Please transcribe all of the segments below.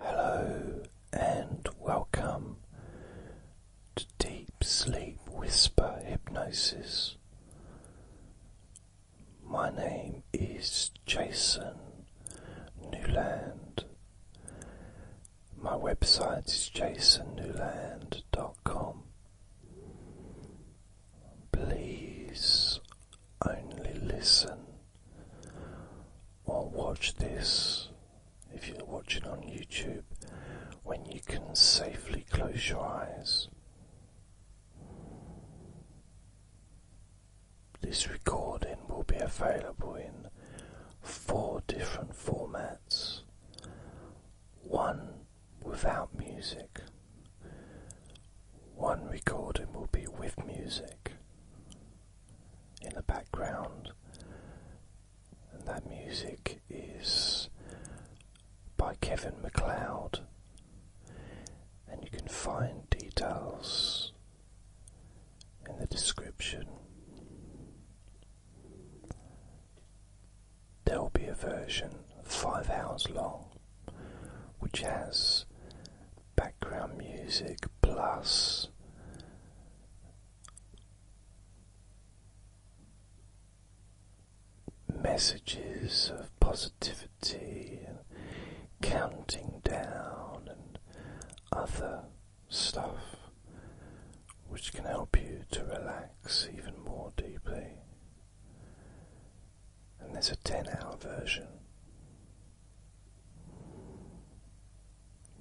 Hello and welcome to Deep Sleep Whisper Hypnosis. My name is Jason Newland. My website is jasonnewland.com. Please only listen or watch this if you're watching on YouTube when you can safely close your eyes. This recording will be available in four different formats one without music, one recording will be with music in the background, and that music is by Kevin McLeod. And you can find details in the description. There will be a version five hours long which has background music plus messages of positivity and counting down and other stuff which can help you to relax even more deeply. And there's a 10 hour version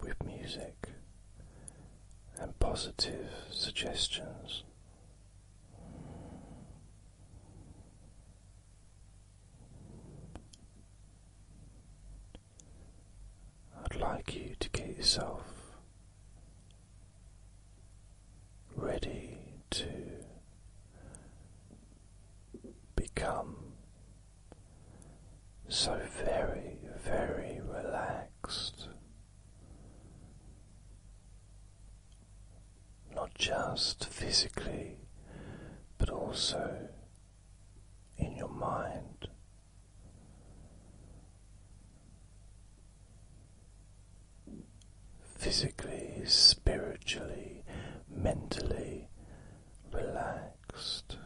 with music and positive suggestions. I'd like you to get yourself ready to become so very, very relaxed. Not just physically, but also in your mind. Physically, spiritually, mentally, relaxed.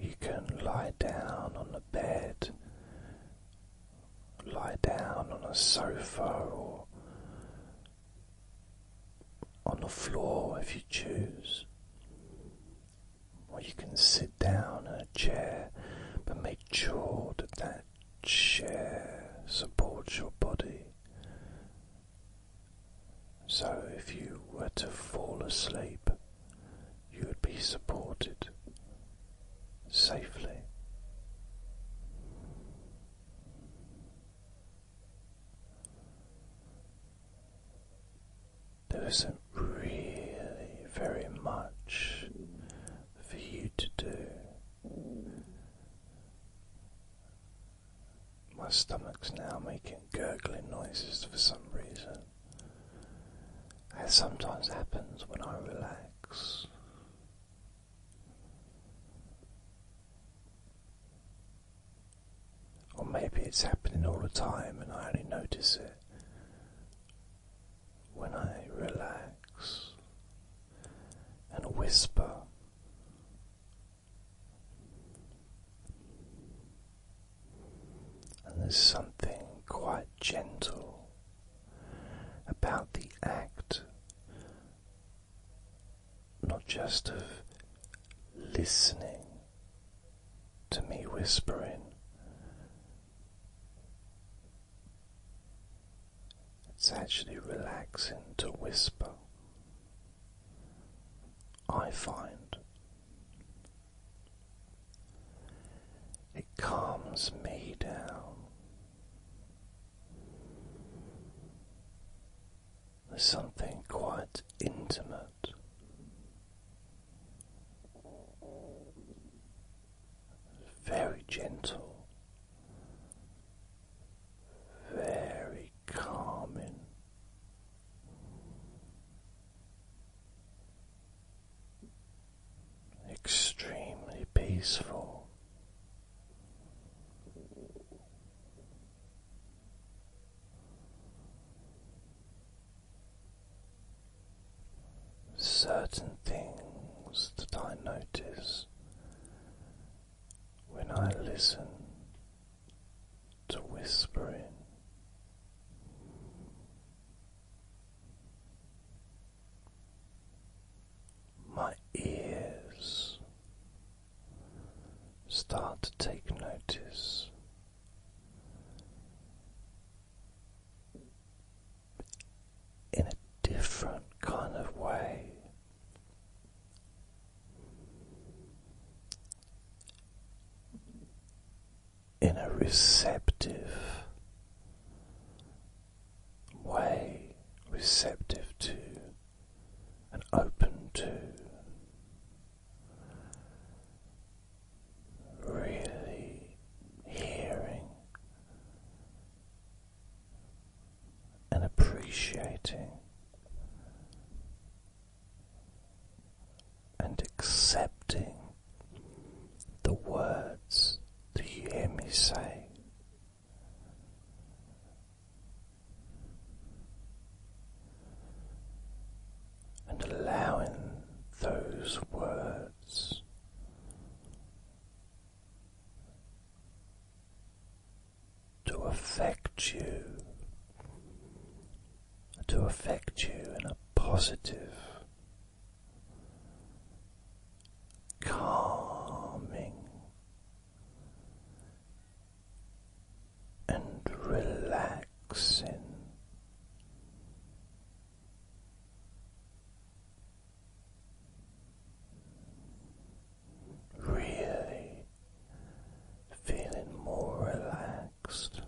You can lie down on the bed, lie down on a sofa, or on the floor if you choose or you can sit down in a chair, but make sure that that chair supports your body. So, if you were to fall asleep, you would be supported safely there isn't really very much for you to do. My stomach's now making gurgling noises for some reason. As sometimes happens when I relax. Or maybe it's happening all the time and I only notice it when I relax and whisper. And there's something quite gentle about the act, not just of listening to me whispering, it's actually relaxing to whisper. I find it calms me down. There's something quite intimate very gentle, very calming. Extremely peaceful certain things that I notice when I listen to whispering. My ears start to take notice in a different kind of way. In a receptive way, receptive to and open to really hearing and appreciating and accepting the words that you hear me say and allowing those words to affect you, to affect you in a positive, calming. And relaxing Really feeling more relaxed.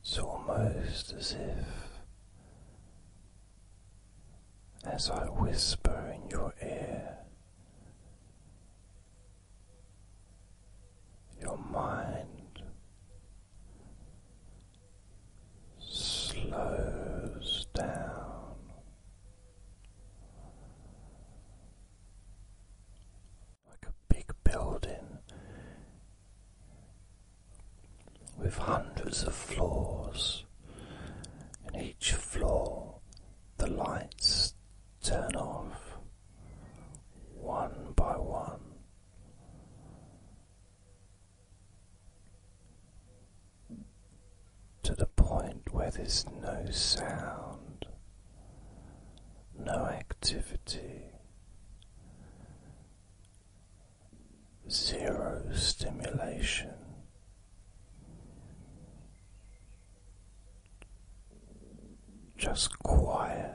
It's almost as if as I whisper in your ear. Your mind slows down. Like a big building with hundreds of floors, and each floor the lights turn off one by one. To the point where there's no sound, no activity, zero stimulation. Just quiet.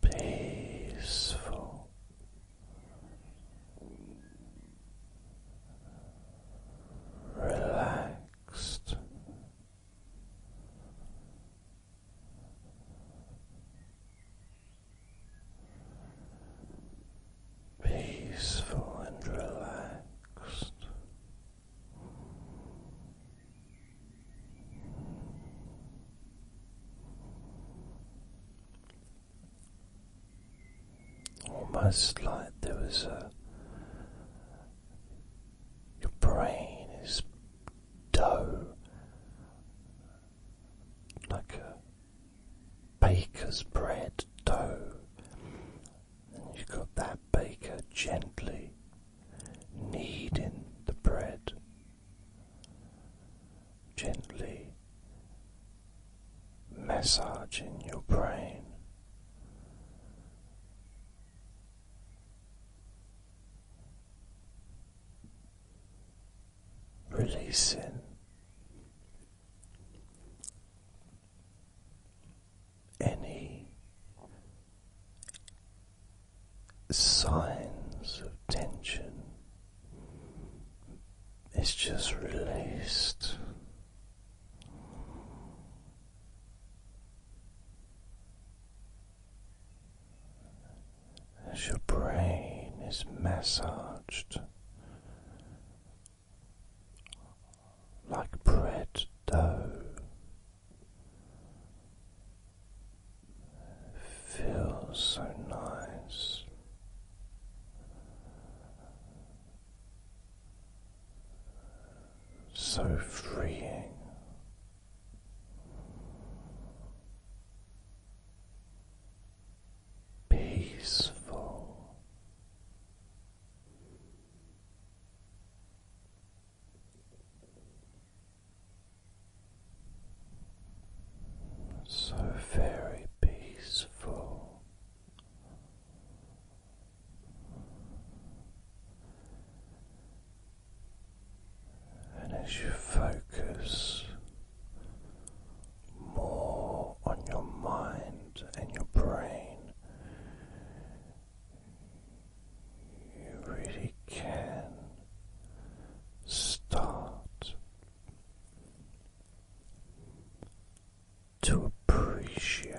Peaceful, relaxed, peaceful and relaxed. Almost like there was a your brain is dough, like a baker's bread dough, and you've got that baker gently kneading the bread, gently massaging your brain. Releasing any signs of tension is just released as your brain is massaged like bread dough. Feels so nice so freeing. Peaceful, so very peaceful, and as you focus more on your mind and your brain, you really can start to appreciate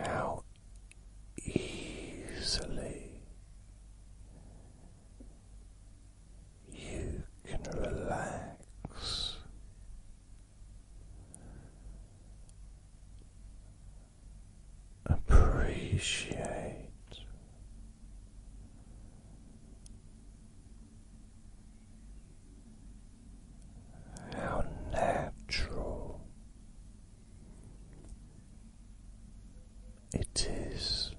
how easily you can relax. Appreciate how natural it is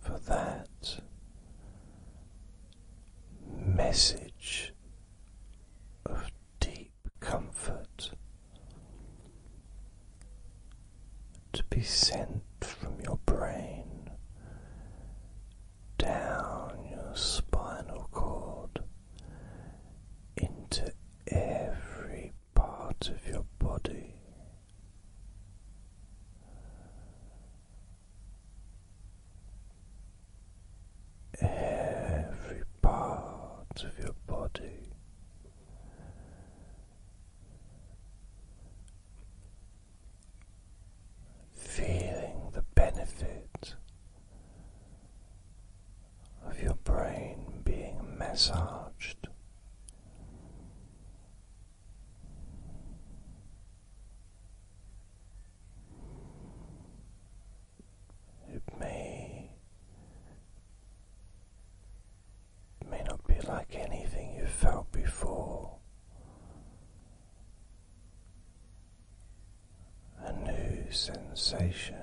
for that message of deep comfort to be sent from your brain down your spinal cord into every part of your body every part of your body. Feeling the benefit of your brain being massaged. It may may not be like anything you have felt before. A new sensation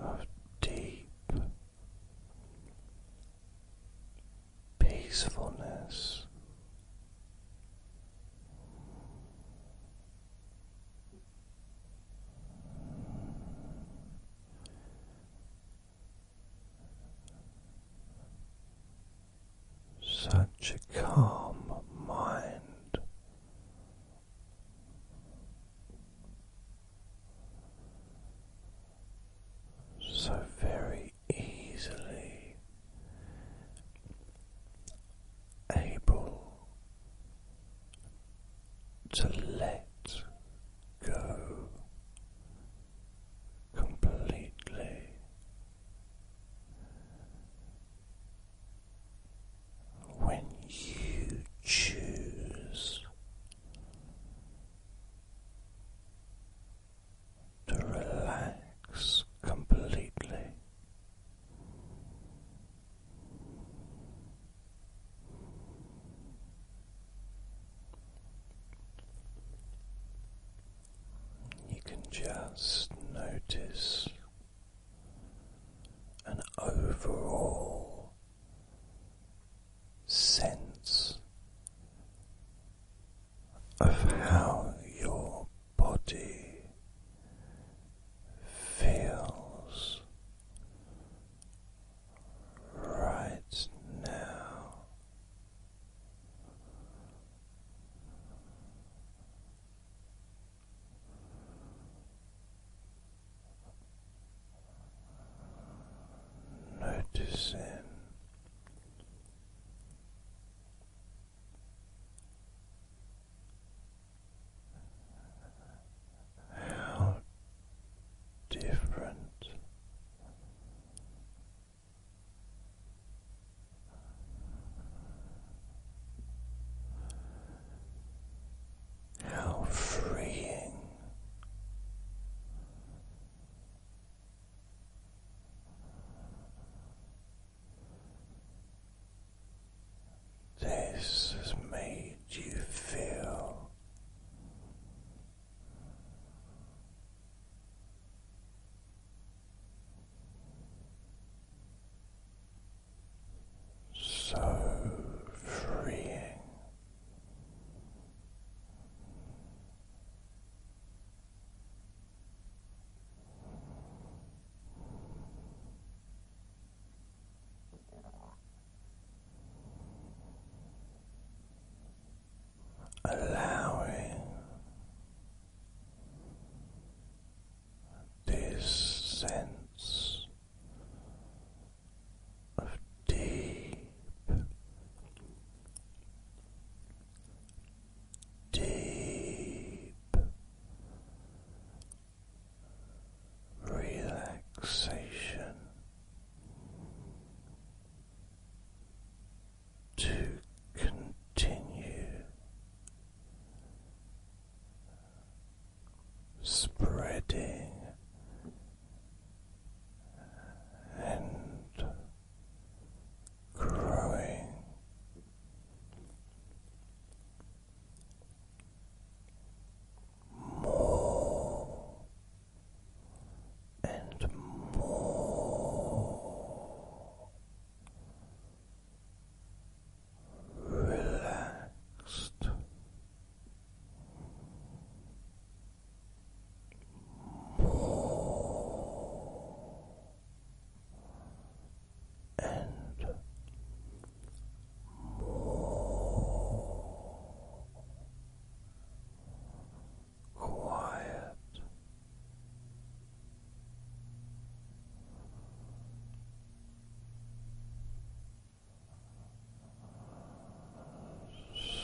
of deep peacefulness. Such a calm mind. So very easily able to let go completely. When you choose to relax completely. You can just notice an overall sense of how your body feels right now. Noticing how different how freeing this has made you feel so freeing. Allowing this sense of deep deep relaxation to continue spreading and growing. More and more relaxed, more and more quiet.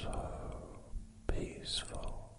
So peaceful,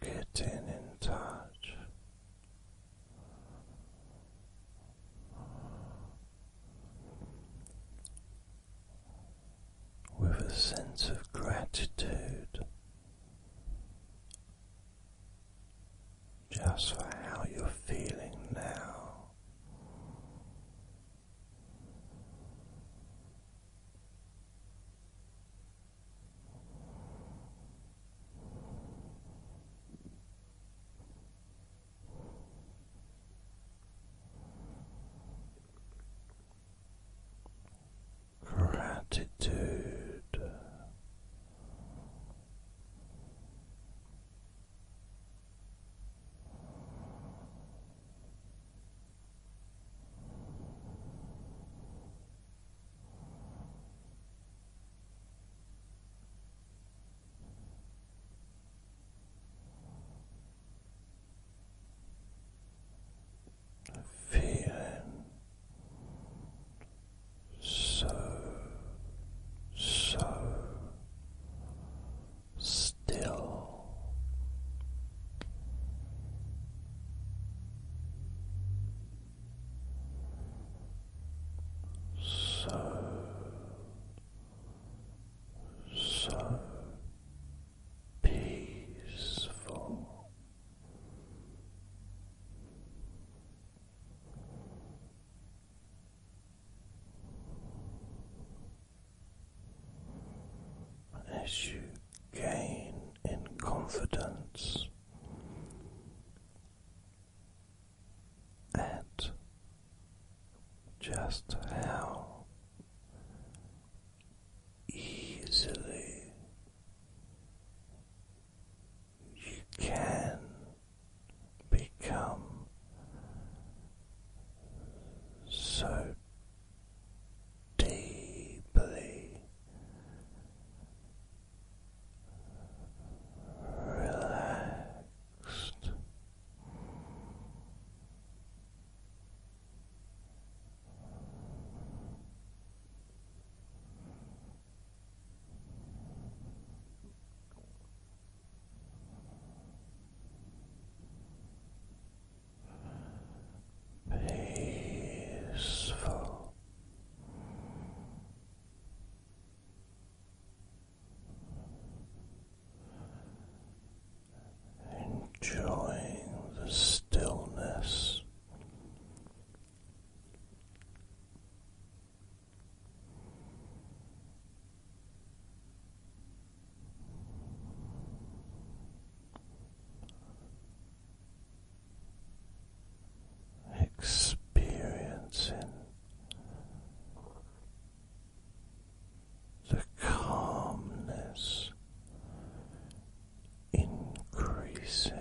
getting in touch with a sense of gratitude just for how you're feeling now. Gratitude. Feeling so, so still so, so peaceful. As you gain in confidence at just how easily you can become so deeply relaxed peaceful. Enjoying the stillness experiencing the calmness increasing.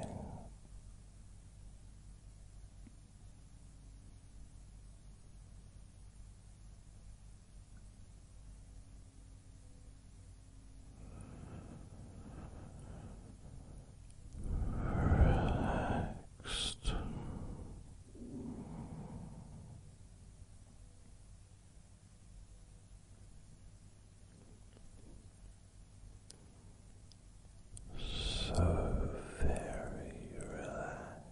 Relaxed. So very relaxed.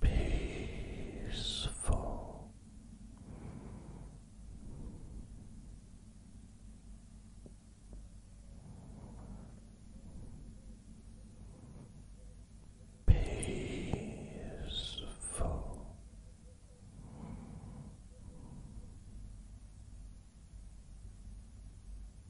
peaceful. Peaceful.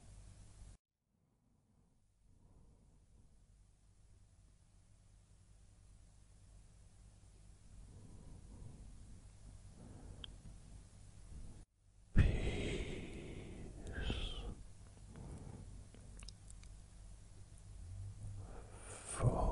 Peace full